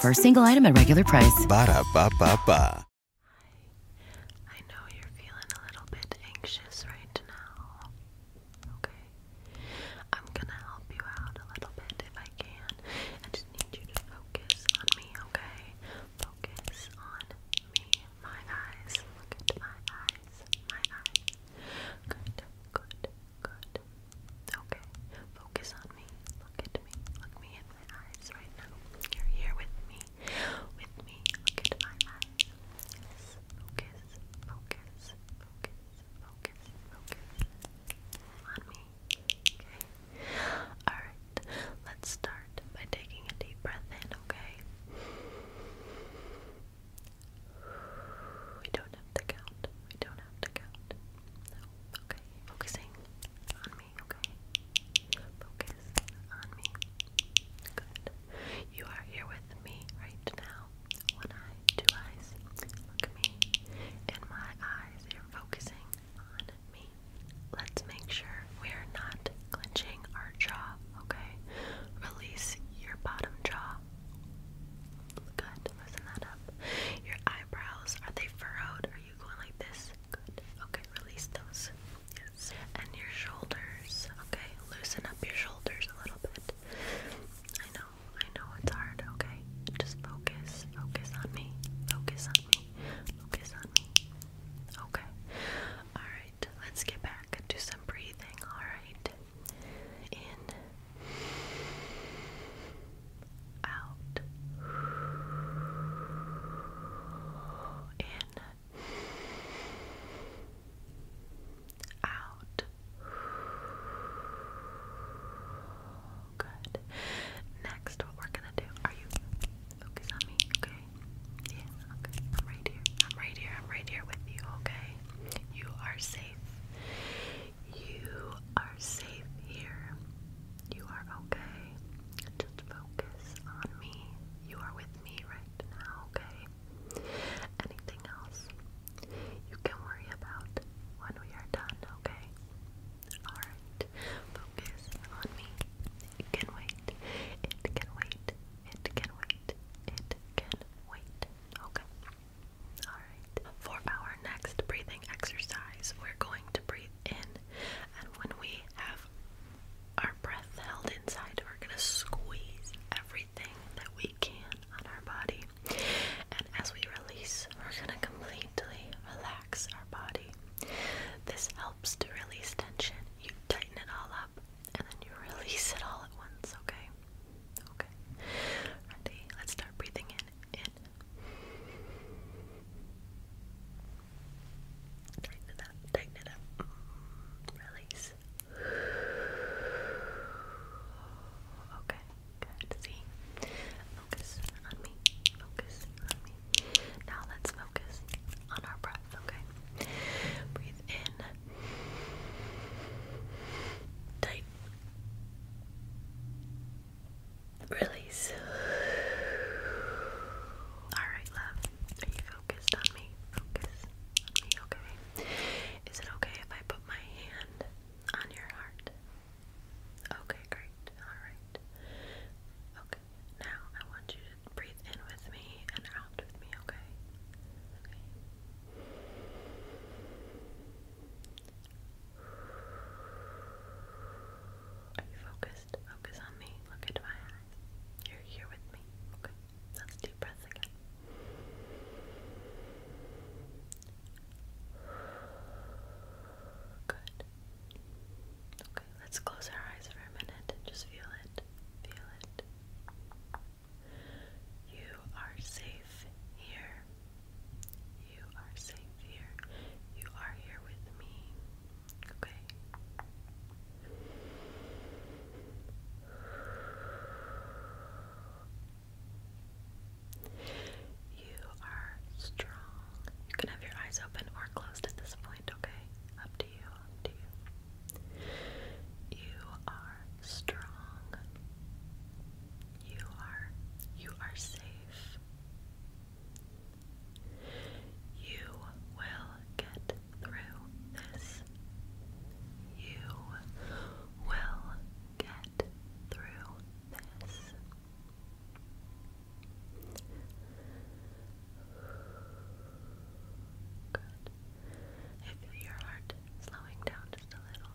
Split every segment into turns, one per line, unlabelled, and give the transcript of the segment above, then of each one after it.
For a single item at regular price.
Ba da ba ba I know you're feeling a little bit anxious right now. Okay. I'm gonna help you out a little bit if I can. I just need you to focus on me, okay? Focus on me. My eyes. Look at my eyes. My eyes. Good, good, Good. Okay. Focus on me. Look at me. Look me in my eyes right now. You're here with me. With me. Look at my eyes. Focus. Focus. Focus. Focus. Focus.
On me. Okay. Alright. Let's start by taking a deep breath in, okay? We don't have to count. We don't have to count. Okay. Focusing on me. Okay. Focus on me. Good. You are here with me right now. One eye, two eyes. Look me. In my eyes, you're focusing on me. Let's make sure we're not clenching our jaw, okay? Release your bottom jaw. Good. Listen that up. Your eyebrows, are they furrowed? Are you going like this? Good. Okay, release those. Yes. And your shoulders. Okay, loosen up your shoulders a little bit. I know, I know it's hard, okay? Just focus. Focus on me. Focus on me. Focus on me. Okay. Alright, let's get back Do some breathing, alright? In out, in, out. Good. Next, what we're gonna do? Are you focus on me? Okay. Yeah. Okay. I'm right here. I'm right here. I'm right here with you. Okay. You are safe. You are safe here. You are okay. Just focus on me. You are with me right now, okay? Anything else you can worry about when we are done, okay? Alright, focus on me. It can wait. It can wait. It can wait. It can wait. Okay. For our next breathing exercise, we're going to breathe in, and when we have our breath held inside, we're going to squeeze everything that we can on our body. And as we release, we're going to completely relax our body. This helps to release tension. You tighten it all up and then you release it all at once, okay? Okay. Ready? Let's start breathing in. In. Tighten it up, tighten it up. Release. Okay, good. See? Focus on me. Focus on me. Now let's focus on our breath, okay? Breathe in. Tight. Release. Alright, love. Are you focused on me? Focus on me, okay? Is it okay if I put my hand on your heart? Okay, great. Alright. Okay, now I want you to breathe in with me and out with me, okay? Are you focused? Focus on me. Look into my eye. You're here with me. Okay. Let's deep breaths again. Good. Okay, let's close our eyes for a minute just feel it. Feel it. You are safe here. You are safe here. You are here with me. Okay. You are strong. You can have your eyes open or closed at this point, okay? Up to you, up to you. You are strong. You are you are safe life. You will get through this. You will get through this. Good. your heart slowing down just a little.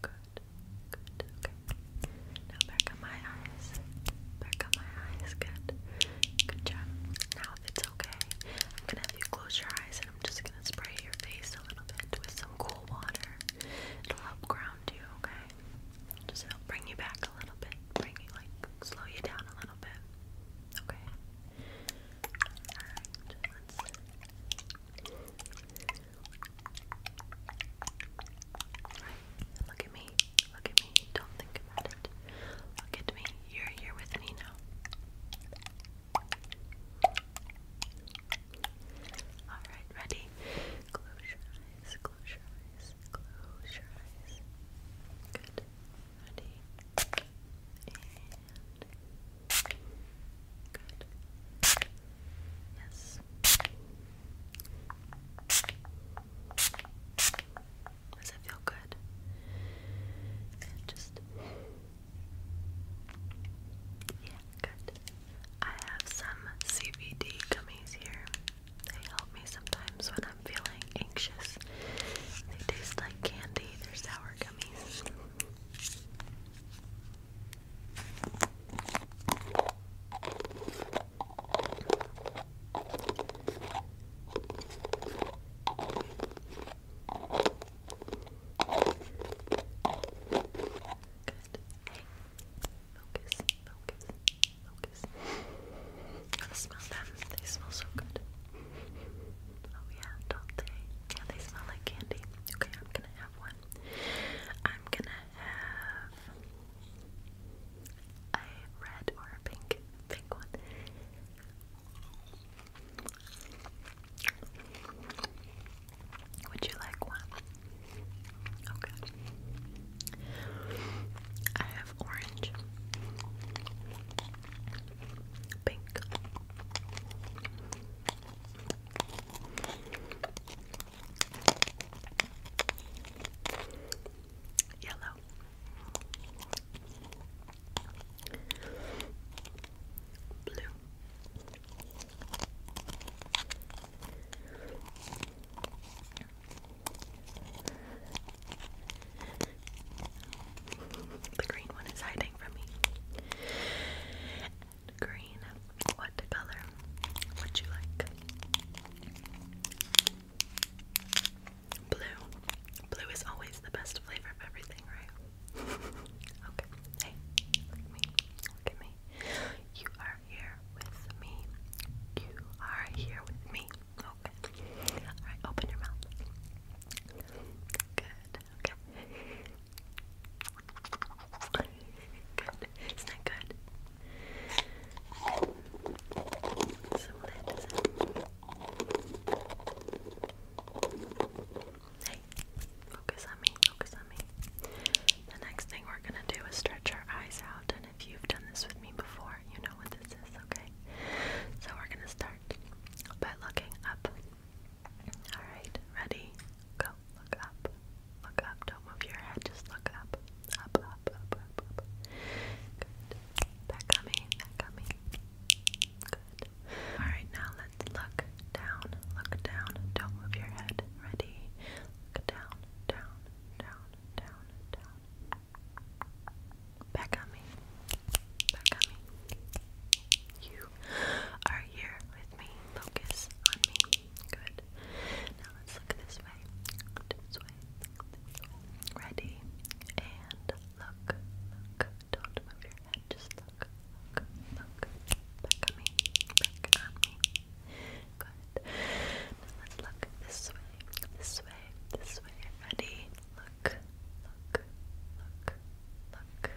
Good, good, okay. Now back on my eyes. Back on my eyes, good. Good job. Now if it's okay, I'm gonna have you close your eyes and I'm just gonna spray your face a little bit with some cool water. It'll help ground you, okay? Just help bring you back a little bit. Bring you like slow you down a little bit. Okay. Right, look at me. Look at me. Don't think about it. Look at me. You're here with me now. Alright, ready? Close your eyes, close your eyes, close your eyes. Good ready, good. Yes. Does it feel good? just yeah, good. I have some CBD gummies here. They help me sometimes when I'm feeling anxious. They taste like candy. They're sour gummies. Good. Hey. Focus, focus, focus. I smell them. They smell so good. Oh yeah, don't they? Yeah, they smell like candy. Okay, I'm gonna have one. I'm gonna have a red or a pink, pink one. Would you like one? Okay. I have orange pink. Yellow. Blue. The green one is hiding from me. green, what color would you like? Blue. Blue is always the best flavor of everything, right? okay. Hey, look at me. Look at me. You are here with me. You are here with me. Okay. Alright, open your mouth. Good. Okay. Good. Isn't that good? Hey, focus on me, focus on me. The next thing we're gonna do is stretch our eyes out, and if you've done this with me before, you know what this is, okay? So we're gonna start by looking up. Alright, ready? Go. Look up. Look up. Don't move your head. Just look up. Up, up, up, up, up. Good. Back on me. Back Good. Alright, now let's look down. Look down. Don't move your head. Ready? Look down, down, down, down, down. Back on me. Back on me. You are here with me. Focus on me. Good. Now let's look this way. This way. This way. Ready. And look. Look. Don't move your head. Just look. Look. Look. Back on me. Back on me. Good. Now let's look this way. This way. This way. Ready. Look. Look, look, look, look.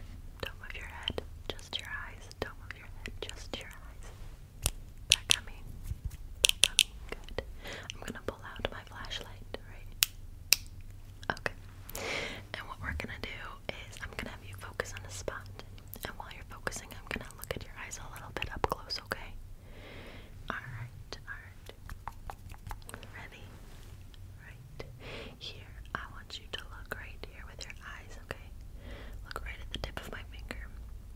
Don't move your head, just your eyes. Don't move your head, just your eyes. That coming, that coming, good. I'm gonna pull out my flashlight, right? Okay. And what we're gonna do is I'm gonna have you focus on a spot. And while you're focusing, I'm gonna look at your eyes a little bit up close, okay? Alright, alright, Ready? Right here. I want you to look right here with your eyes, okay? Look right at the tip of my finger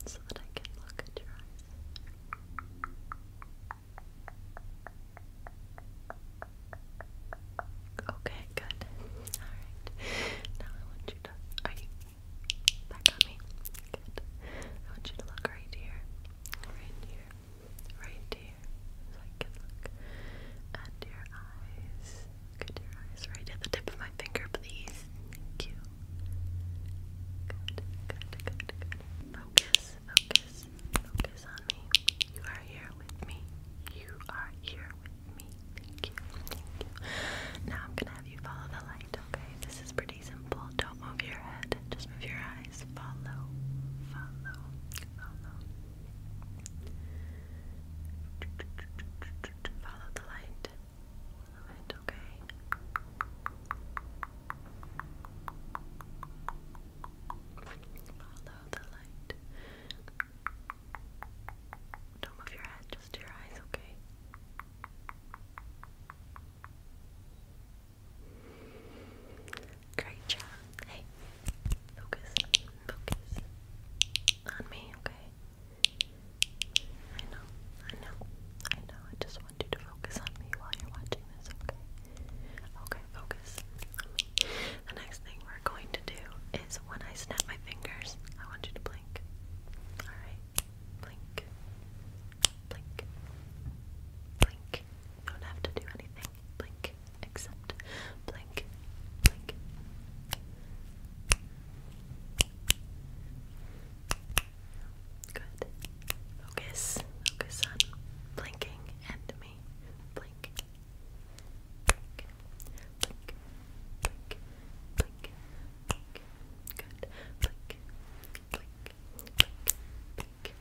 so that I can look at your eyes. Okay, good. Alright. Now I want you to are you back on me? Good. I want you to look right here. Right here right here, so I can look at your eyes. Look your eyes right at the tip of my finger, please. Thank you. Good, good, good, good. Focus, focus, focus on me. You are here with me. You are here with me. Thank you, thank you. Now I'm gonna have you follow the light, okay? This is pretty simple. Don't move your head, just move your eyes guys follow, follow, follow. Follow the light. okay? Follow the light. Don't move your head, just your eyes, okay? Great job. Hey, focus, focus on me, okay? I know, I know, I know. I just want you to focus on me while you're watching this, okay? Okay, focus The next thing we're going to do is when I snap my fingers, I want you to blink. Alright? Blink. Blink. Blink. You don't have to do anything blink, accept, blink, blink. Good. Focus, focus on blinking and me. Blink, blink, blink, blink, blink, Good. Blink, blink, click,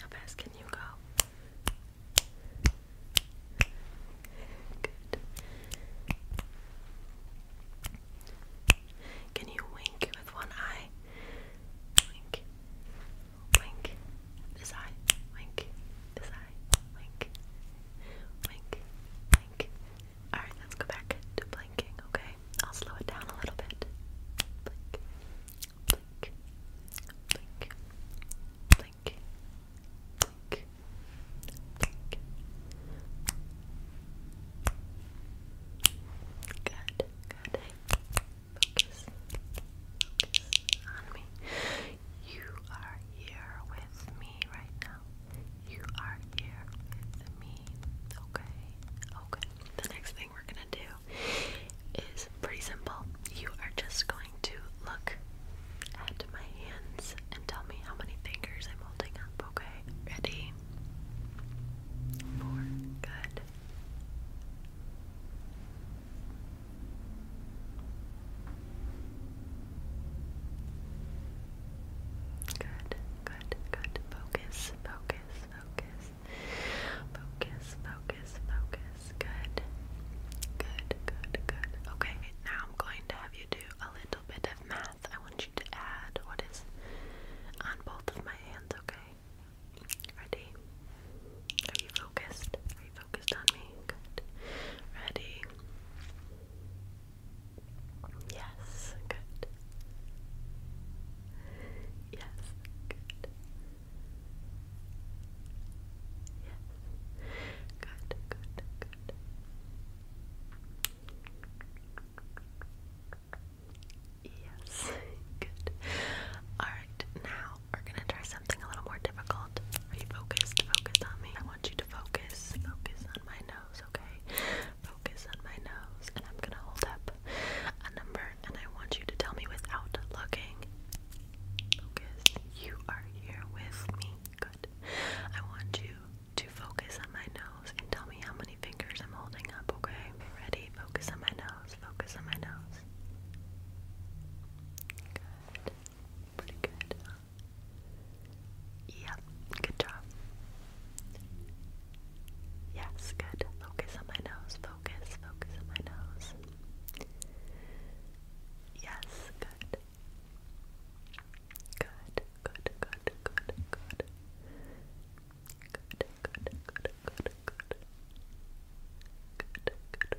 How fast can you go? Good. Can you wink with one eye? Wink. Wink. This eye. Wink. This eye. Wink. Wink. Wink. Alright, let's go back to blinking, okay? I'll slow it down a little bit. Blink, blink, blink, blink, blink, blink. Good, good. Focus, focus on me. You are here with me right now you are here with me. Okay, okay. The next thing we're gonna do is pretty simple. You are just going to look at my hands and tell me how many fingers I'm holding up, okay? Ready? Four. Good. Good, good, good. Focus, focus, focus. Focus, focus, focus. Good. Good, good, good. Okay, now I'm going to have you do a little bit of math. I want you to add what is on both of my hands, okay? Ready? Are you focused? Are you focused on me? Good. Ready? Yes, good. Yes, good. Yes. Good, good, good. Yes, good. Alright, now we're gonna try something a little more difficult. Are you focused? Focus on me. I want you to focus. Focus on my okay? Focus on my nose, and I'm gonna hold up a number, and I want you to tell me without looking. Focus. You are here with me. Good. I want you to focus on my nose and tell me how many fingers I'm holding up, okay? Ready? Focus on my nose. Focus on my nose. Good. Pretty good. Yep, good job. Yes, good. Focus on my nose. Focus, focus on my nose. Yes, good, good, good. Good, good, good, good, good. Good, good, good, good.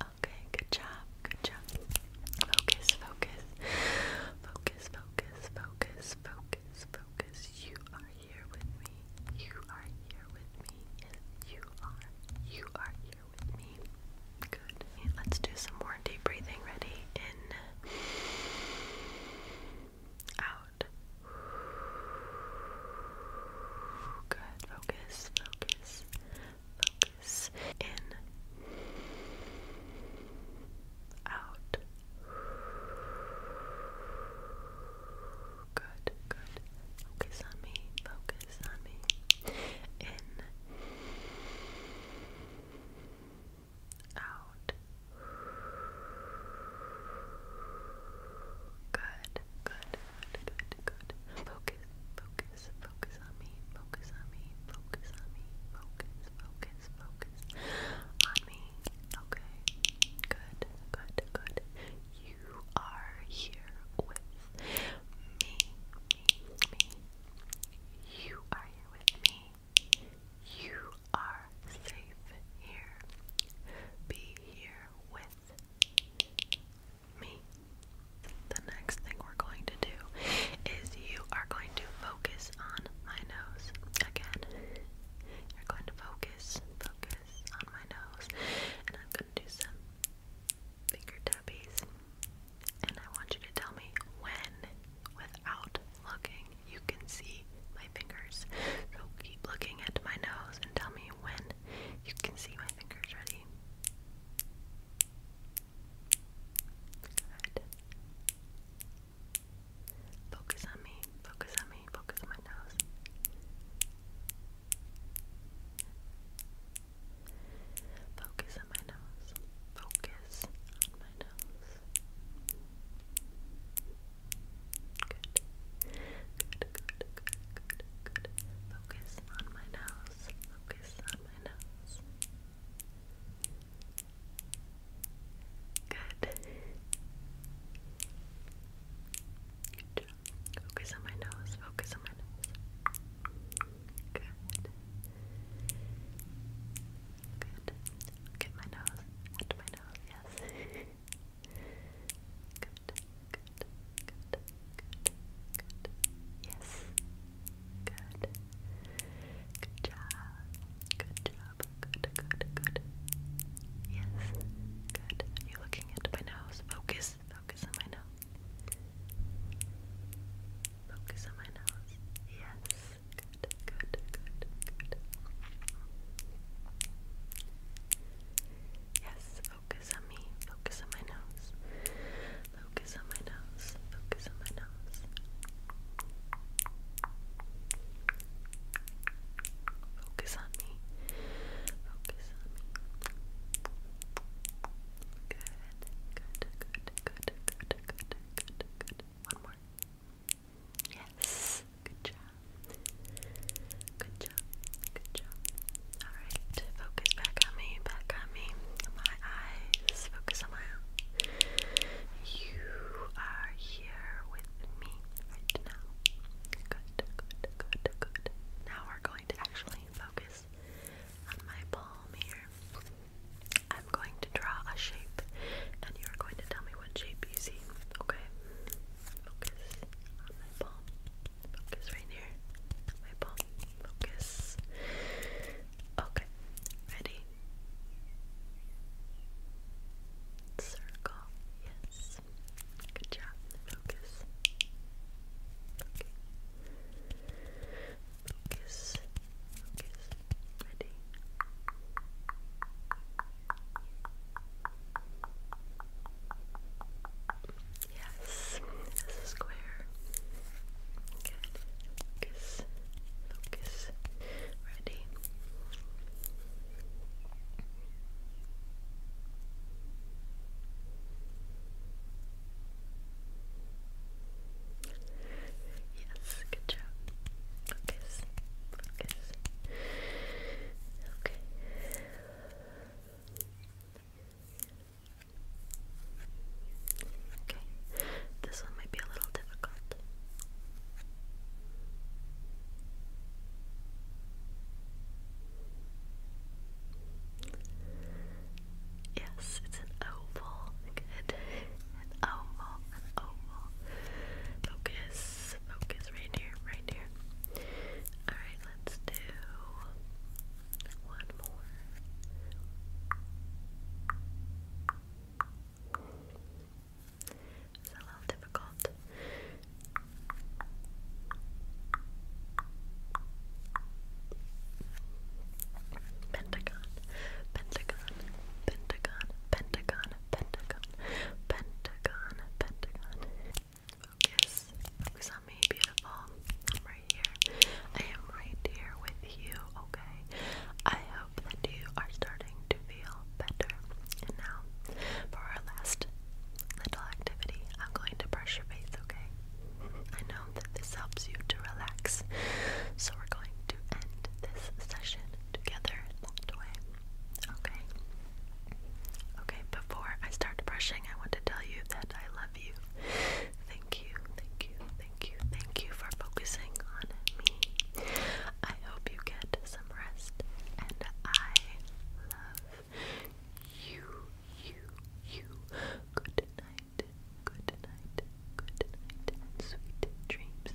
Okay, good job, good job. Focus, focus, focus focus, focus, focus, focus, You are here with me. You are here with me. you are. You are here with me. Good. let's do some more deep breathing. Ready? In. Out. Good. focus, focus, release in out good good focus on me focus on me in out good, good, good, good. Focus, focus, Focus on me, focus on me, focus on me, focus, focus, focus on me. Okay, good, good, good. You are here with me, You are with me. You are safe here. Be here with me. The next thing we're going to do is you are going to focus on my nose. Again, you're going to focus, focus on my nose. And I'm going to do some finger tappies. And I want you to tell me when, without looking, you can see my fingers. So keep looking at my nose and tell me when you can see my fingers. Ready? Focus on me, focus on me, focus on my nose. Focus on my nose, focus on my nose. Good. Good, good, good, good, good. Focus on my nose, focus on my nose. Good. Good job. Focus on my nose. Focus on my nose. Good. Good. Look my nose. my nose, yes. good, good, good, good, good. Yes. Good. Good job. Good job. Good, good, good. Yes. Good. you looking at my nose? Focus. Focus on my nose. Focus on my nose. Yes. Good, good, good, good. Yes, focus on me. Focus on my nose. Focus on my nose. Focus on my nose. Focus on me. Focus on me. Good. Good. Good. Good. Good. Good. Good. Good. One more. Yes. Good job. Good job. Good job. Alright, focus back on me, back on me. My eyes. Focus on my you are here with me right now. Good, good, good, good. Now we're going to actually focus on my palm here. I'm going to draw a shape and you're going to tell me what shape you see. Okay? Focus on my palm. Focus right here. My palm. Focus. Okay. Ready? Circle, yes. Good job. Focus. Okay. Focus. Ready. Yes. square. Good. Focus. Focus. Ready. Yes, good job. Focus. Okay. Okay. This one might be a little difficult. Yes, it's an oval. Good. An oval, an oval. Focus, focus right here, right here. Alright, let's do one more. It's a little difficult. Pentagon, Pentagon, Pentagon, Pentagon, Pentagon, Pentagon, Pentagon. Focus, focus on me, beautiful. I'm right here. I am right here with you, okay? that you are starting to feel better. And now, for our last little activity, I'm going to brush your face, okay? I know that this helps you to relax, so we're going to end this session together that way, okay? Okay, before I start brushing, I want to tell you that I love you. Thank you, thank you, thank you, thank you for focusing on me. I hope you get some rest, and I love you, you, you. Good night, good night, good night, sweet dreams.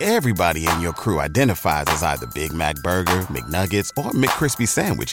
Everybody in your crew identifies as either Big Mac Burger, McNuggets, or McKrispy Sandwich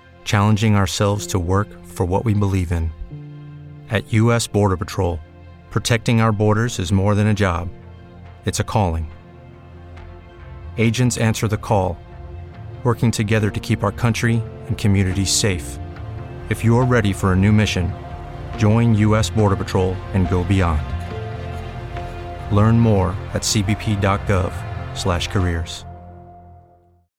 challenging ourselves to work for what we believe in. At U.S. Border Patrol, protecting our borders is more than a job, it's a calling. Agents answer the call, working together to keep our country and communities safe. If you're ready for a new mission, join U.S. Border Patrol and go beyond. Learn more at cbp.gov/careers.